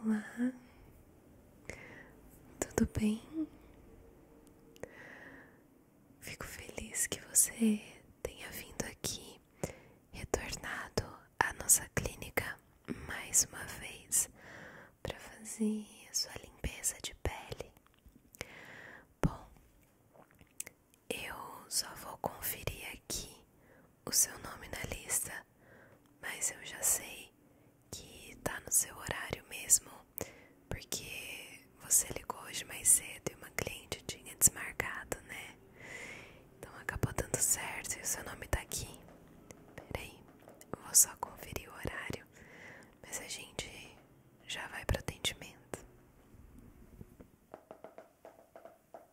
Olá, tudo bem? Fico feliz que você tenha vindo aqui, retornado à nossa clínica mais uma vez para fazer sua limpeza de pele. Bom, eu só vou conferir aqui o seu nome na lista, mas eu já sei que tá no seu horário mesmo, porque você ligou hoje mais cedo e uma cliente tinha desmarcado, né? Então acabou dando certo e o seu nome tá aqui. Peraí, eu vou só conferir o horário, mas a gente já vai para o atendimento.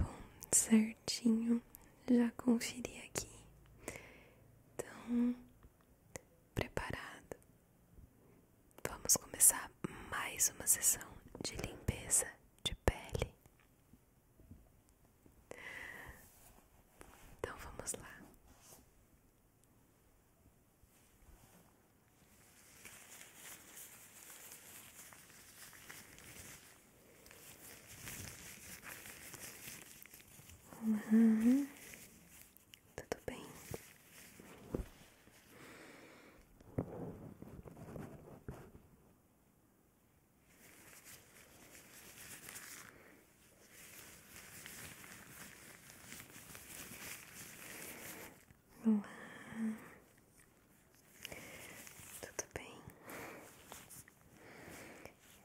Bom, certinho, já conferi aqui. Então, preparado. Vamos começar mais uma sessão de limpeza de pele. Então vamos lá. Uhum. Tudo bem. Olá. Tudo bem.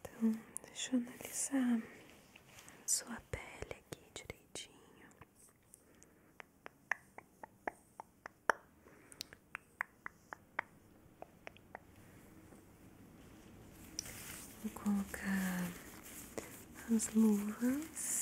Então, deixa eu analisar sua pele aqui direitinho. Vou colocar as luvas.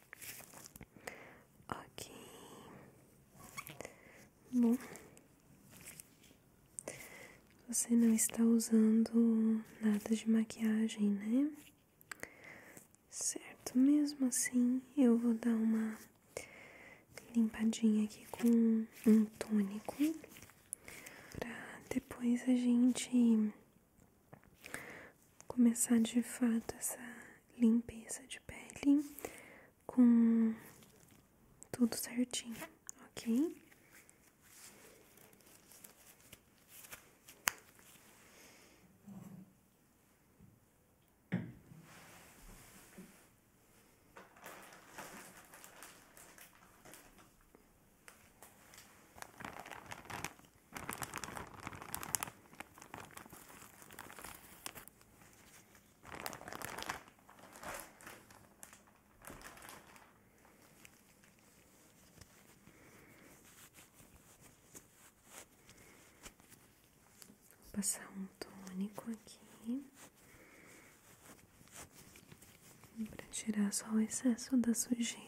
Ok. Bom. Você não está usando nada de maquiagem, né? Certo, mesmo assim eu vou dar uma limpadinha aqui com um tônico pra depois a gente começar de fato essa limpeza de pele com tudo certinho, ok? Vou passar um tônico aqui para tirar só o excesso da sujeira.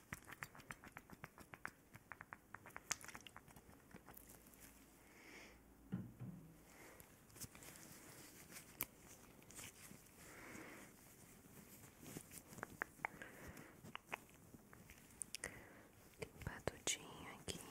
Limpar tudinho aqui.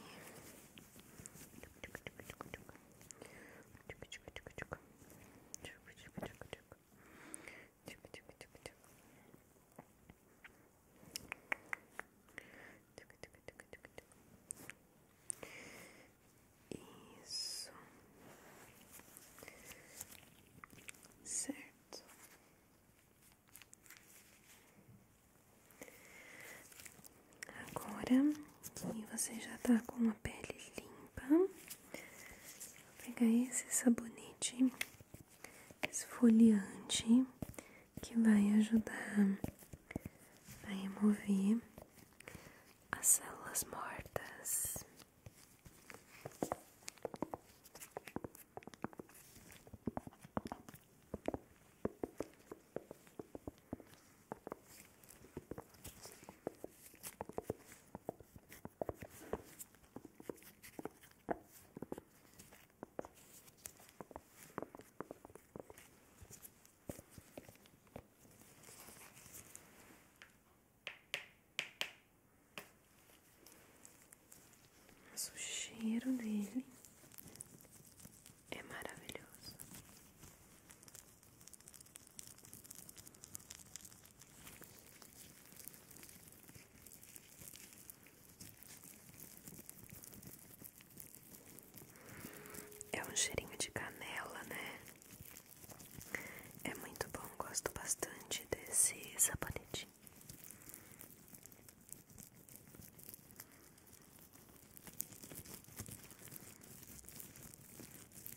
Isso. Certo. Agora que você já tá com a pele limpa. Vou pegar esse sabonete esfoliante que vai ajudar a remover as células mortas. Mas o cheiro dele é maravilhoso. É um cheirinho de canela, né? É muito bom, gosto bastante desse sabonetinho.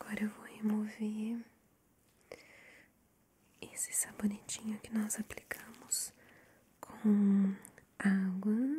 Agora eu vou remover esse sabonetinho que nós aplicamos com água.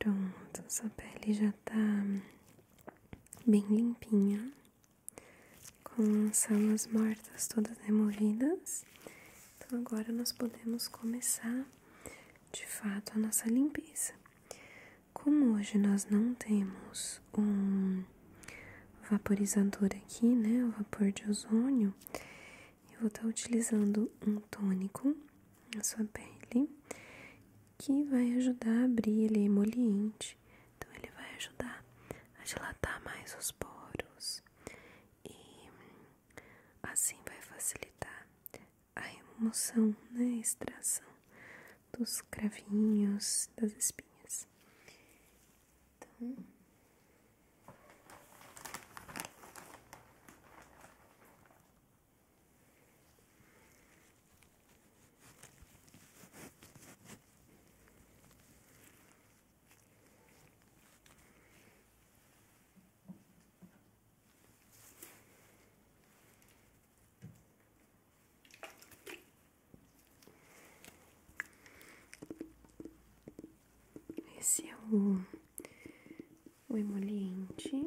Pronto, sua pele já tá bem limpinha, com as células mortas todas removidas. Então agora nós podemos começar de fato a nossa limpeza. Como hoje nós não temos um vaporizador aqui, né, o vapor de ozônio, eu vou estar tá utilizando um tônico na sua pele que vai ajudar a abrir, ele é emoliente, então ele vai ajudar a dilatar mais os poros e assim vai facilitar a remoção, né, extração dos cravinhos, das espinhas. Então, esse é o, o emoliente.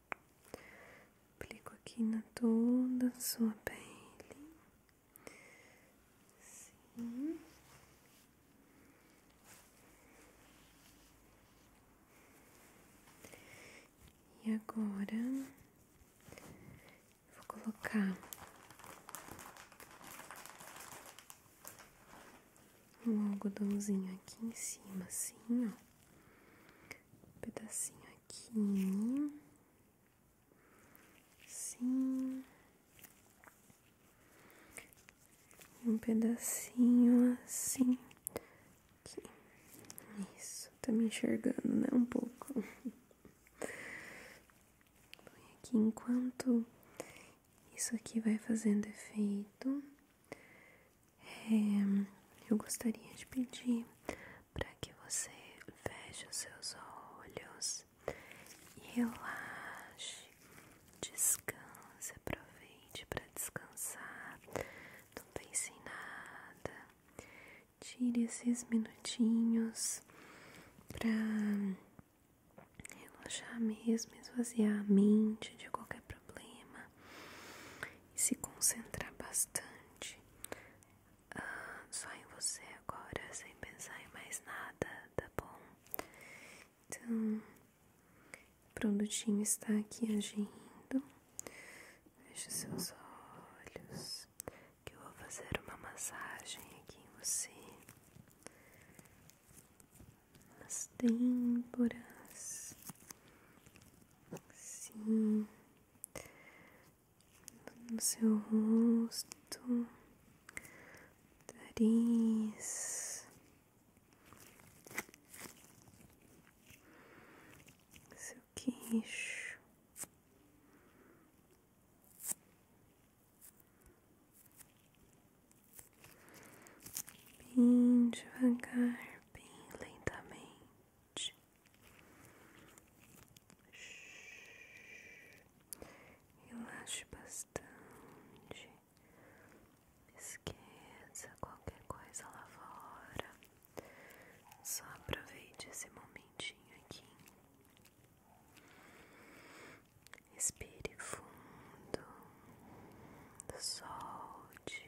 Aplico aqui na toda sua pele. Sim. E agora vou colocar um algodãozinho aqui em cima, assim, ó um pedacinho aqui, sim, um pedacinho assim, isso, tá me enxergando, né? Um pouco. Põe aqui enquanto isso aqui vai fazendo efeito. É, eu gostaria de pedir para que você feche os seus olhos e relaxe, descanse, aproveite para descansar, não pense em nada, tire esses minutinhos para relaxar mesmo, esvaziar a mente de qualquer problema, e se concentrar bastante ah, só em você agora, sem pensar em mais nada, tá bom? Então, o produtinho está aqui agindo. Feche seus olhos, que eu vou fazer uma massagem aqui em você as têmporas, sim, no seu rosto, nariz, seu queixo bem devagar, bem lentamente. Relaxe bastante, esqueça qualquer coisa lá fora, só aproveite esse momentinho aqui. Respire fundo, solte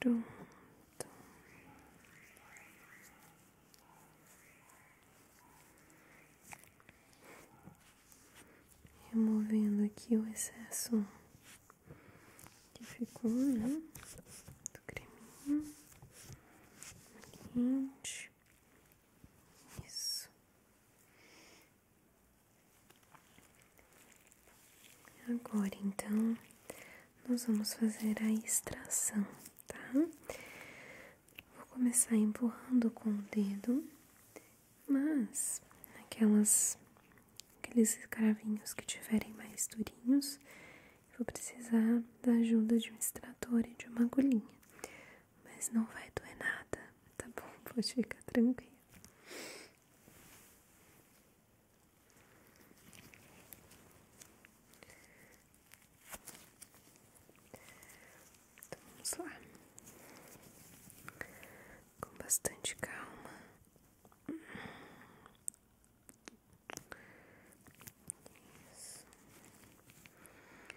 Pronto. Removendo aqui o excesso que ficou, né? Do creminho. Quente. Isso. Agora, então, nós vamos fazer a extração, tá? Vou começar empurrando com o dedo, mas aquelas aqueles cravinhos que tiverem mais durinhos, vou precisar da ajuda de um extrator e de uma agulhinha mas não vai doer nada, tá bom? Pode ficar tranquilo. Então, vamos lá, com bastante calma.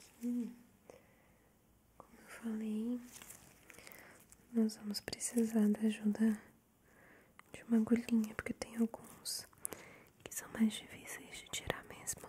Aqui, como eu falei, nós vamos precisar da ajuda de uma agulhinha, porque tem alguns que são mais difíceis de tirar mesmo.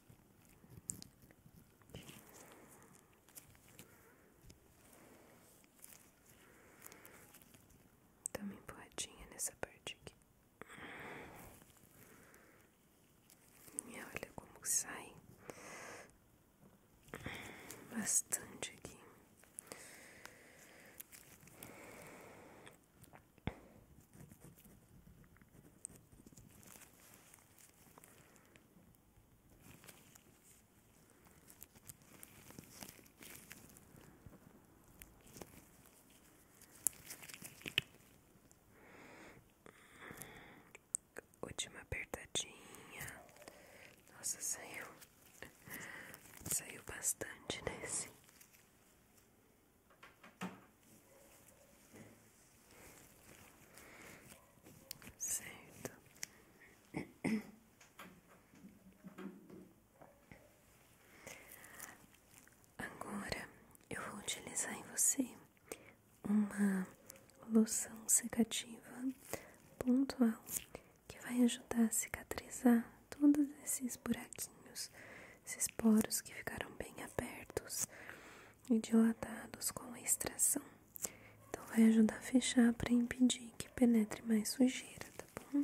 Dá uma empurradinha nessa parte aqui. olha como sai bastante aqui. Última apertadinha. Nossa, saiu. Saiu bastante nesse. Certo. Agora eu vou utilizar em você uma loção secativa pontual que vai ajudar a cicatrizar todos esses buraquinhos esses poros que ficaram bem abertos e dilatados com a extração. Então, vai ajudar a fechar para impedir que penetre mais sujeira, tá bom?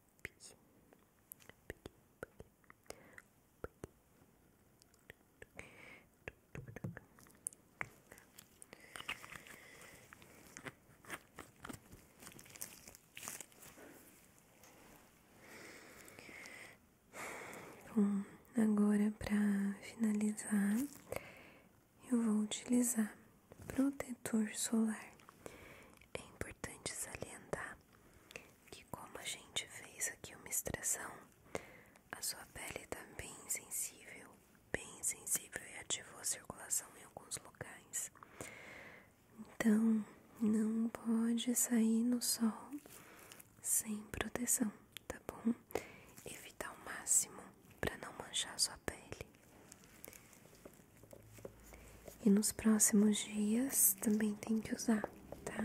pique, Bom, agora para finalizar, eu vou utilizar prote solar. É importante salientar que, como a gente fez aqui uma extração, a sua pele está bem sensível, bem sensível e ativou a circulação em alguns locais. Então, não pode sair no sol sem proteção, tá bom? Evitar o máximo para não manchar a sua pele. E nos próximos dias também tem que usar, tá?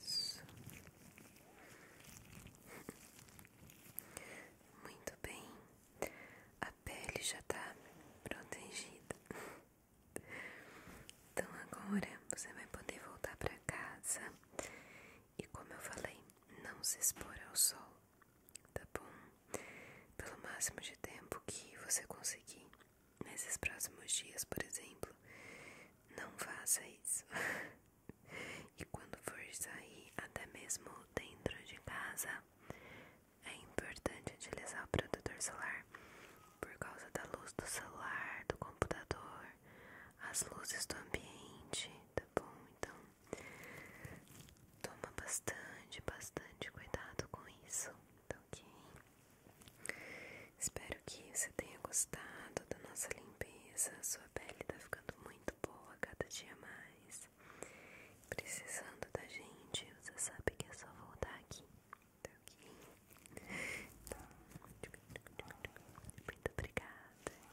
Isso. Muito bem. A pele já tá protegida. Então agora você vai poder voltar para casa. E como eu falei, não se expor ao sol, tá bom? Pelo máximo de tempo que você conseguir nesses próximos dias, por exemplo, não faça isso. e quando for sair, até mesmo dentro de casa, é importante utilizar o protetor solar por causa da luz do celular, do computador, as luzes do ambiente, tá bom? Então, toma bastante, bastante cuidado com isso, tá ok? Espero que você tenha gostado da nossa limpeza. Sua pele tá ficando muito boa cada dia mais. Precisando da gente, você sabe que é só voltar aqui. Tá ok? Então, muito obrigada.